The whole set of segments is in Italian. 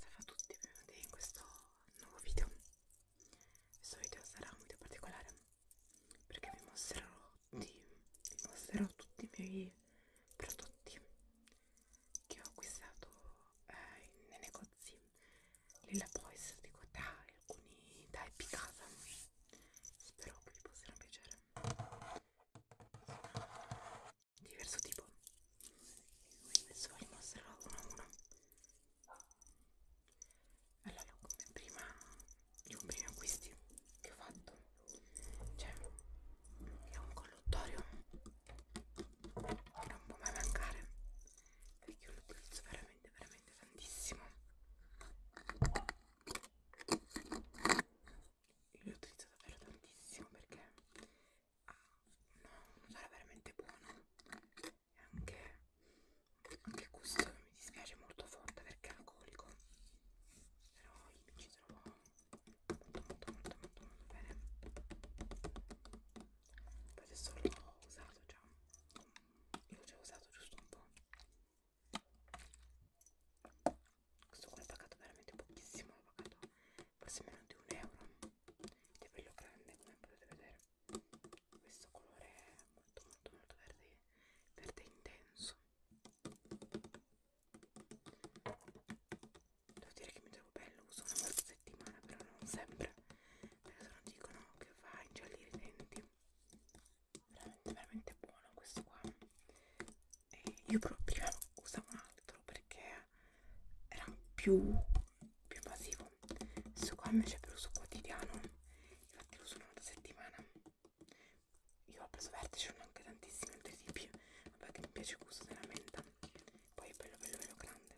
Salve a tutti, benvenuti in questo nuovo video. Questo video sarà un video particolare perché vi mostrerò, di, vi mostrerò tutti i miei prodotti che ho acquistato eh, nei negozi Lilla Boys di Cotà e alcuni da Epicasa. Spero che vi possano piacere. Sono di diverso tipo quindi adesso vi mostrerò uno a uno allora come prima i diciamo, primi acquisti che ho fatto cioè è un colluttorio che non può mai mancare perché lo utilizzo veramente veramente tantissimo io l'ho utilizzo davvero tantissimo perché ha un odore veramente buono e anche, anche questo mi dispiace molto forte perché è alcolico però io mi ci trovo molto molto molto molto molto bene poi adesso l'ho usato già io l'ho già usato giusto un po' questo qua l'ho pagato veramente pochissimo l'ho pagato forse meno di un euro ed è bello grande come potete vedere questo colore è molto molto molto verde verde intenso devo dire che mi trovo bello uso una volta a settimana però non sempre perché se non dicono che fa ingiallire i denti veramente veramente buono questo qua e io però prima usavo un altro perché era più, più invasivo questo qua invece per uso quotidiano infatti lo uso una volta a settimana io ho preso vertice non anche tantissimi altri tipi vabbè che mi piace il gusto della menta poi è bello bello bello grande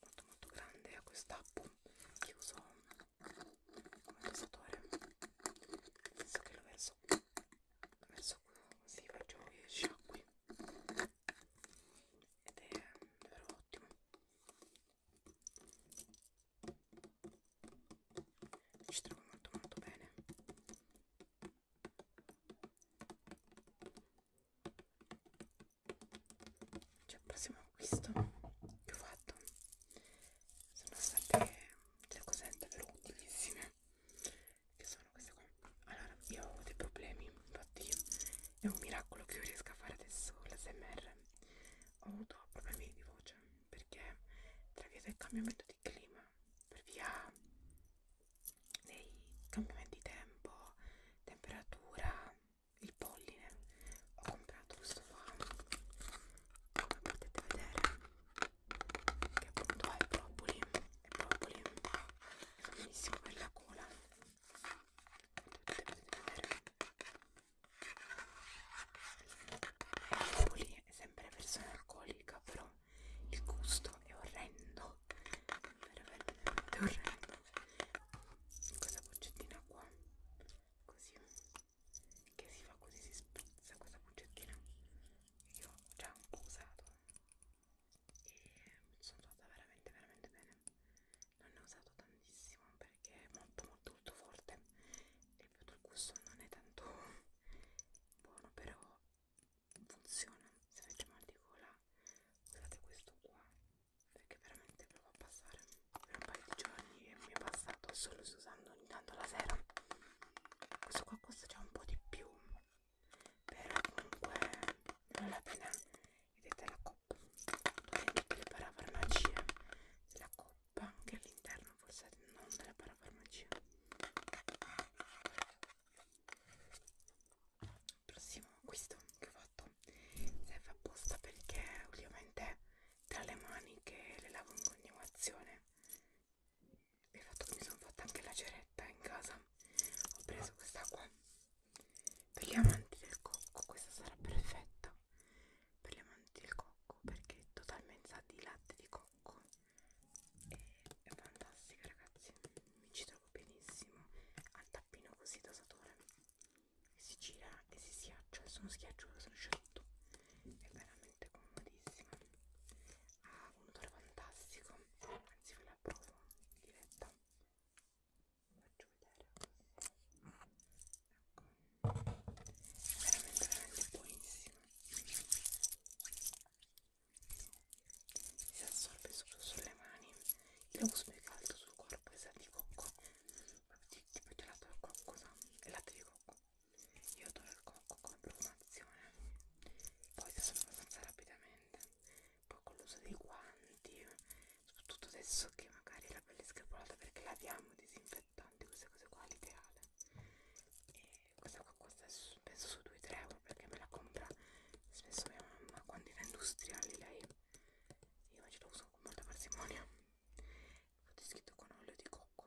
molto molto grande a quest'appo che uso come versatore nel senso che lo verso adesso così faccio che sciacqui ed è mm, davvero ottimo ci trovo molto molto bene c'è cioè, il prossimo acquisto che ho fatto sono state delle mm, cose davvero utilissime che sono queste qua allora io ho dei problemi infatti è un miracolo che io riesca a fare adesso l'ASMR ho avuto problemi di voce perché tra via del cambiamento di clima per via dei cambiamenti di tempo temperatura il polline ho comprato questo qua come potete vedere che appunto ha i propoli e propoli sono benissimo per la cola potete vedere i propoli è sempre versione alcolica però il gusto è orrendo veramente orrendo questa boccettina qua così che si fa così si spezza questa boccettina io ho già un po' usato e sono trovata veramente veramente bene non ne ho usato tantissimo perché è molto molto molto forte e il gusto non è tanto buono però funziona se avete mal di gola usate questo qua perché veramente prova a passare per un paio di giorni e mi è passato solo usando ogni tanto la sera questo qua costa già un po' di più però comunque vale la pena vedete la coppa dove tutte le parafarmacie la coppa anche all'interno forse non della parafarmacia prossimo acquisto che ho fatto serve apposta perché ultimamente tra le mani che le lavo in continuazione il fatto che mi sono fatta anche la ceretta in casa ho preso questa qua per gli amanti del cocco questa sarà perfetta per gli amanti del cocco perché è totalmente sa di latte di cocco e è fantastica ragazzi mi ci trovo benissimo al tappino così dosatore si gira e si schiaccia sono schiacciato sono sciolto è veramente comodissima ha un odore fantastico anzi ve la provo in diretta vi faccio vedere ecco è veramente veramente buonissima si assorbe solo sulle mani io lo uso più che altro sul corpo è di cocco proprio tipo gelato al cocco sa? è latte di cocco io adoro il cocco compro un'azione poi si assorbe abbastanza rapidamente poi con l'uso dei guanti soprattutto adesso che magari la pelle è screpolata perché laviamo i disinfettanti queste cose qua l'ideale e questa qua costa penso su 2-3 euro perché me la compra spesso mia mamma quando era industriale lei io invece lo uso con molta parsimonia ho scritto con olio di cocco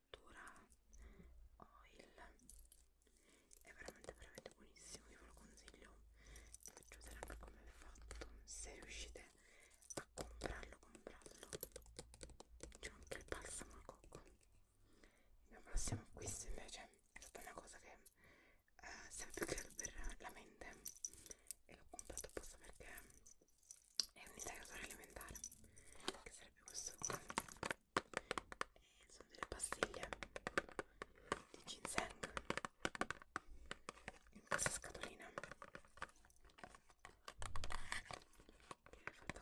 fattura oil è veramente veramente buonissimo io ve lo consiglio vi faccio vedere anche come è fatto se riuscite a comprarlo comprarlo c'è anche il balsamo al cocco il mio prossimo acquisto invece è stata una cosa che eh, serve più che per la mente e l'ho comprato apposta perché è un integratore alimentare che sarebbe questo qua e eh, sono delle pastiglie di ginseng in questa scatolina che è fatta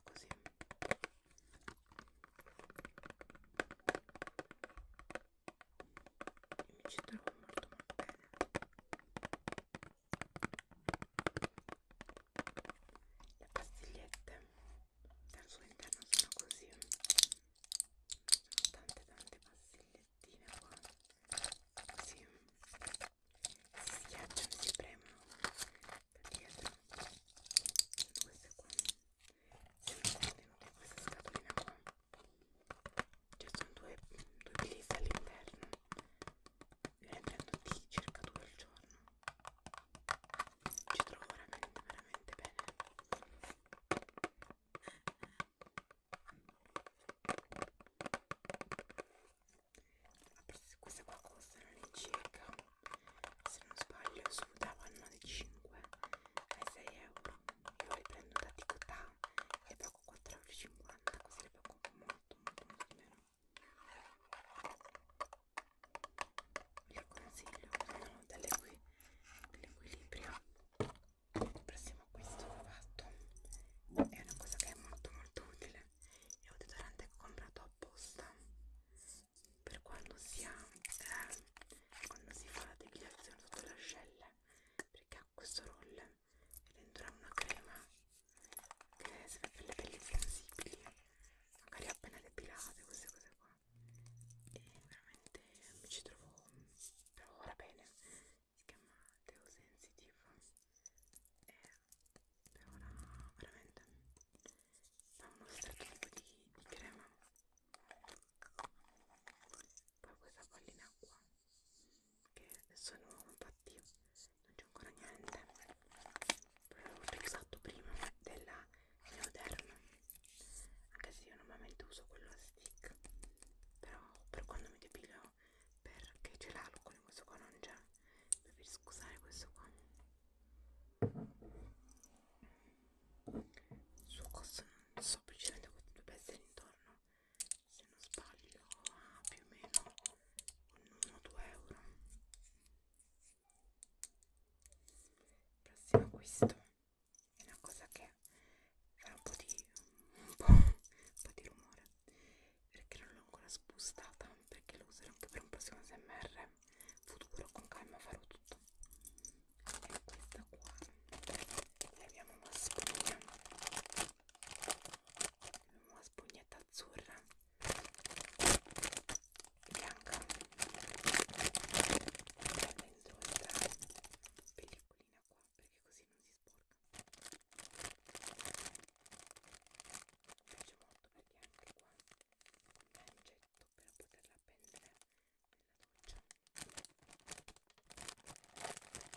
così e mi ci trovo molto molto bene le pastigliette dal suo interno sono così sono tante tante pastigliettine qua così si schiacciano si premono da dietro sono queste qua sono contenute questa scatolina qua ci cioè sono due, due pelisse all'interno ne prendo di circa due al giorno ci trovo veramente veramente bene ah, queste qua costano all'incirca se non sbaglio sul davano di 5 ai 6 euro io le prendo da Ticotà e pago 4,50 euro così le pago molto molto molto di meno vi consiglio sono delle qui dell'equilibrio il prossimo acquisto che ho fatto è una cosa che è molto molto utile è un deodorante che ho comprato apposta per quando si ha eh, quando si fa la depilazione sotto le ascelle perché ha questo roll e dentro è una crema che serve per le pelli sensibili magari appena depilate queste cose qua e veramente mi ci trovo per ora bene si chiama Deo Sensitive e per ora veramente fa uno strato tipo di, di crema poi questa pallina qua che sono infatti non c'è ancora niente però l'ho utilizzato prima della Neoderm anche se io normalmente uso quello a stick però per quando mi depilo perché c'è l'alcol in questo qua non c'è preferisco usare questo qua il suo costo non so precisamente quanto dovrebbe essere intorno se non sbaglio a più o meno un 1-2 euro il prossimo acquisto è una cosa che fa un po' di, un po', un po di rumore perché non l'ho ancora spostata perché lo userò anche per un prossimo smr futuro con calma farò tutto e questa qua la chiamo mascherina una spugnetta azzurra bianca e dentro questa pellicolina qua perché così non si sporca mi piace molto perché anche qua un lancetto per poterla appendere nella doccia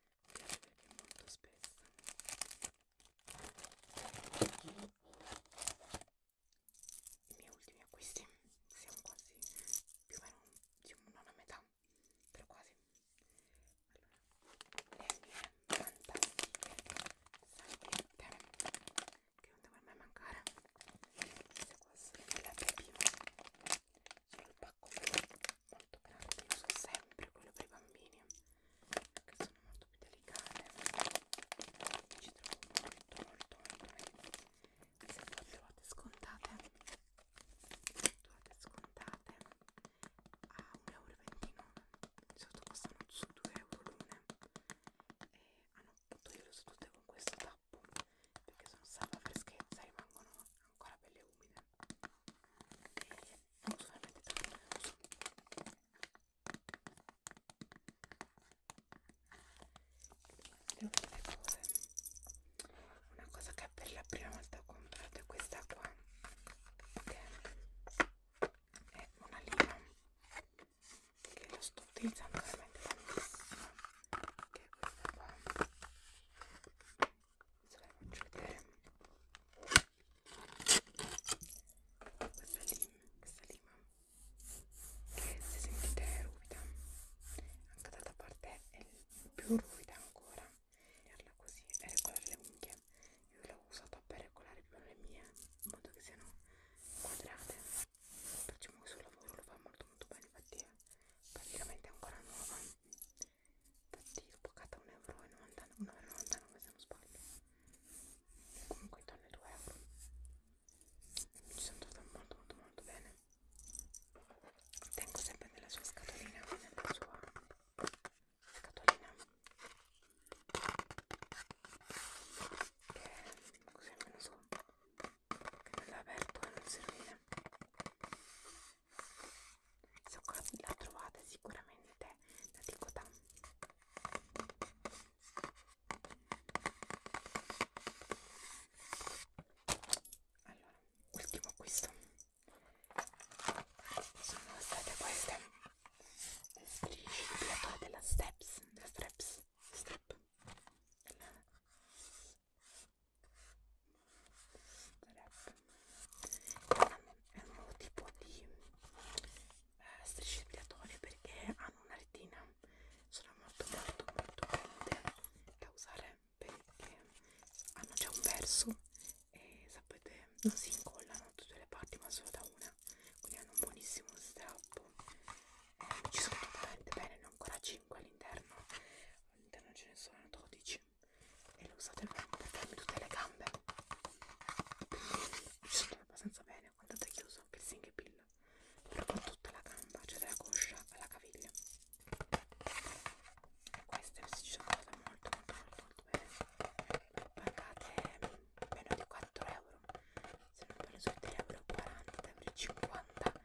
mi piace perché è molto spessa i miei ultimi acquisti siamo quasi più o meno diciamo non a metà però quasi allora le mie fantastiche salviette che non devo mai mancare questa qua sono la prima sono il pacco molto grande io uso sempre quello per i bambini che sono molto più delicate mi ci trovo molto molto molto meglio se voi trovate scontate trovate scontate a 1,29 euro di solito costano su 2 euro l'una e hanno ah, io le ho tutte con questo tappo perché sono salva freschezza e rimangono ancora belle umide e uso veramente tanto uso. le ultime cose una cosa che per la prima volta ho comprato è questa qua che è una lima che lo sto utilizzando veramente tantissimo che è questa qua se la faccio vedere questa lima questa lima che se sentite è ruvida anche dall'altra parte è più ruvida ancora tenerla così e regolare le unghie io l'ho usata per regolare più le mie in modo che siano quadrate facciamo questo lavoro lo fa molto molto bene infatti praticamente è ancora nuova infatti l'ho pagata 1,99 euro se non sbaglio comunque intorno ai 2 euro mi sono trovata molto molto molto bene tengo sempre nella sua scatolina nella sua scatolina che così almeno so che l'ho aperto e non si rovina se qua la trovate sicuramente la ticotà allora ultimo acquisto sono state queste le strisce di piatto della steps della straps strap della è un nuovo tipo di eh, strisce epilatorie perché hanno una retina sono molto molto molto belle da usare perché hanno già un verso e sapete non si incollano tutte le parti ma solo da una quindi hanno un buonissimo strappo eh, ci sono totalmente bene ne ho ancora 5 5 all'interno all'interno ce ne sono 12 e le usate per farmi tutte le gambe ci sono abbastanza bene guardate che uso piercing e pilla proprio tutta la gamba cioè dalla coscia alla caviglia queste ci sono andate molto molto molto molto bene pagate meno di 4 euro se non parlo su 3 euro 40 euro 50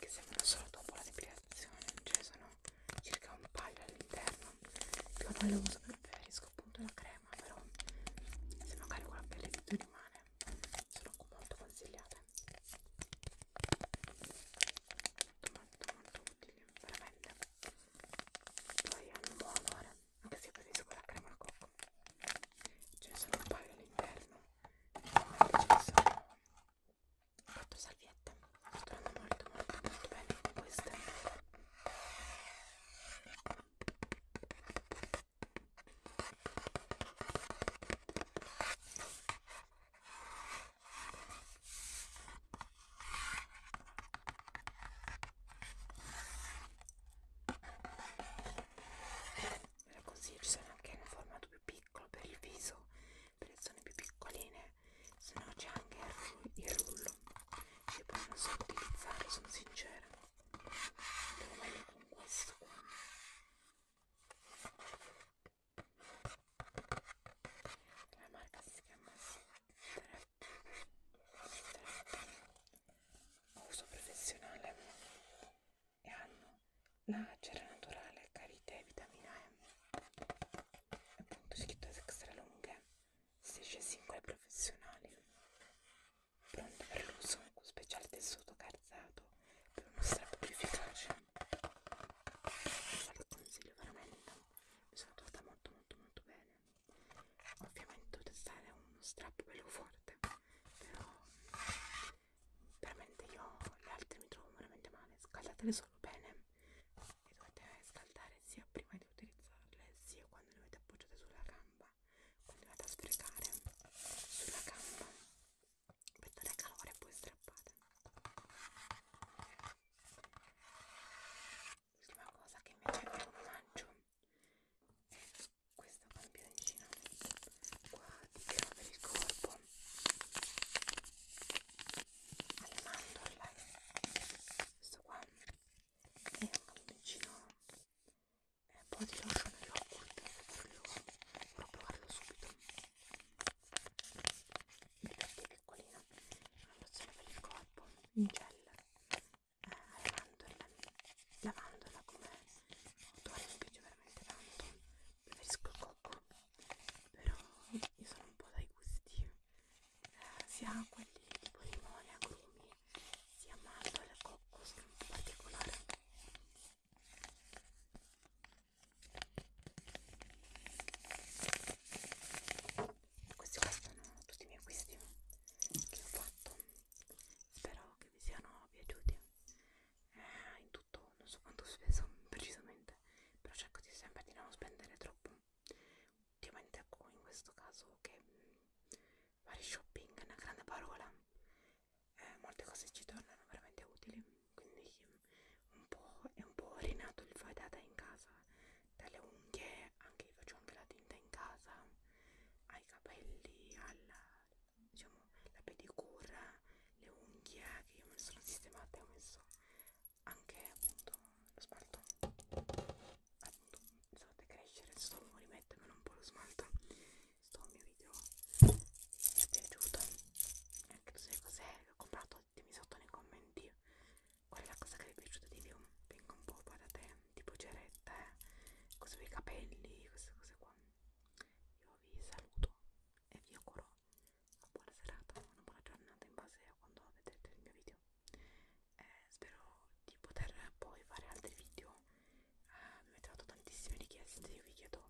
che sembrano solo dopo la depilazione cioè sono circa un paio all'interno più o meno lo uso preferisco appunto la crema però se magari con la pelle di tu rimane sono molto consigliate molto molto molto utili veramente poi hanno un buon odore anche se io preferisco la crema al cocco ce cioè, ne sono un paio all'interno quattro salviette stanno molto molto molto bene queste ve lo consiglio ci sono anche in un formato più piccolo piccolo per il viso per le zone più piccoline se no c'è anche il rullo che poi non so utilizzare sono sincera devo meglio con questo qua la marca si chiama Trap uso professionale e hanno la cera naturale, carite e vitamina E. Appunto scritto extra lunghe, 16 singole professionali, pronte per l'uso con speciale tessuto calzato per uno strappo più efficace. Lo consiglio veramente, mi sono trovata molto molto molto bene. Ovviamente dovete stare uno strappo bello forte, però veramente io le altre mi trovo veramente male scaldatele solo bene e dovete scaldare sia prima di utilizzarle sia quando le avete appoggiate sulla gamba continuate a sprecare sulla gamba per dare calore e poi strappate l'ultima cosa che invece vi mangio è questa campioncina qua di tiro per il corpo alle mandorle questo qua è un campioncino è un po' di lotion e yogurt voglio provarlo subito mi piace piccolina una lozione per il corpo in gel eh, alle mandorle lavandola come odore mi piace veramente tanto preferisco il cocco però io sono un po' dai gusti eh, sia quelli tipo limone, agrumi sia mandorle e cocco sono un po' particolare questi qua sono tutti i miei acquisti che ho fatto spero che che vi siano piaciuti eh, in tutto non so quanto ho speso precisamente però cerco di sempre di non spendere troppo ultimamente ecco in questo caso che mh, mm, fare shopping è una grande parola eh, molte cose ci tornano veramente utili quindi un po' è un po' rinato il fai da te in casa dalle unghie anche io faccio anche la tinta in casa ai capelli alla diciamo, la pedicura, le unghie che io me le sono sistemate, ho messo anche appunto lo smalto, appunto mi sono crescere, sto rimettermelo un po' lo smalto, sto mio video mi è piaciuto, anche tu sai cos'è, l'ho comprato, dimmi sotto nei commenti qual è la cosa che vi è piaciuta di più, vengo un po' da te tipo cerette, eh. cose per i capelli, queste cose qua. Io vi saluto e vi auguro una buona serata, una buona giornata in base a quando vedrete il mio video. Eh, spero di poter poi fare altri video. Eh, mi avete dato tantissime richieste, io vi chiedo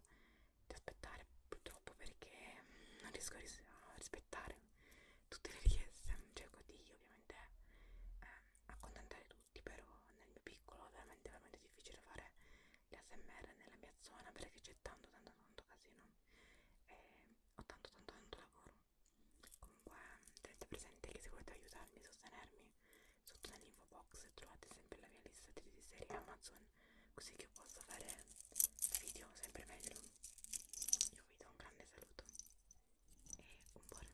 di aspettare purtroppo perché mm, non riesco a, ris a rispettare tutte le richieste. Cerco di ovviamente eh, accontentare tutti però nel mio piccolo è veramente veramente difficile fare l'ASMR nella mia zona perché c'è tanto tanto tanto casino e ho tanto tanto tanto lavoro comunque tenete presente che se volete aiutarmi e sostenermi sotto nell'info box trovate sempre la mia lista di serie Amazon così che posso fare video sempre meglio io vi do un grande saluto e un buon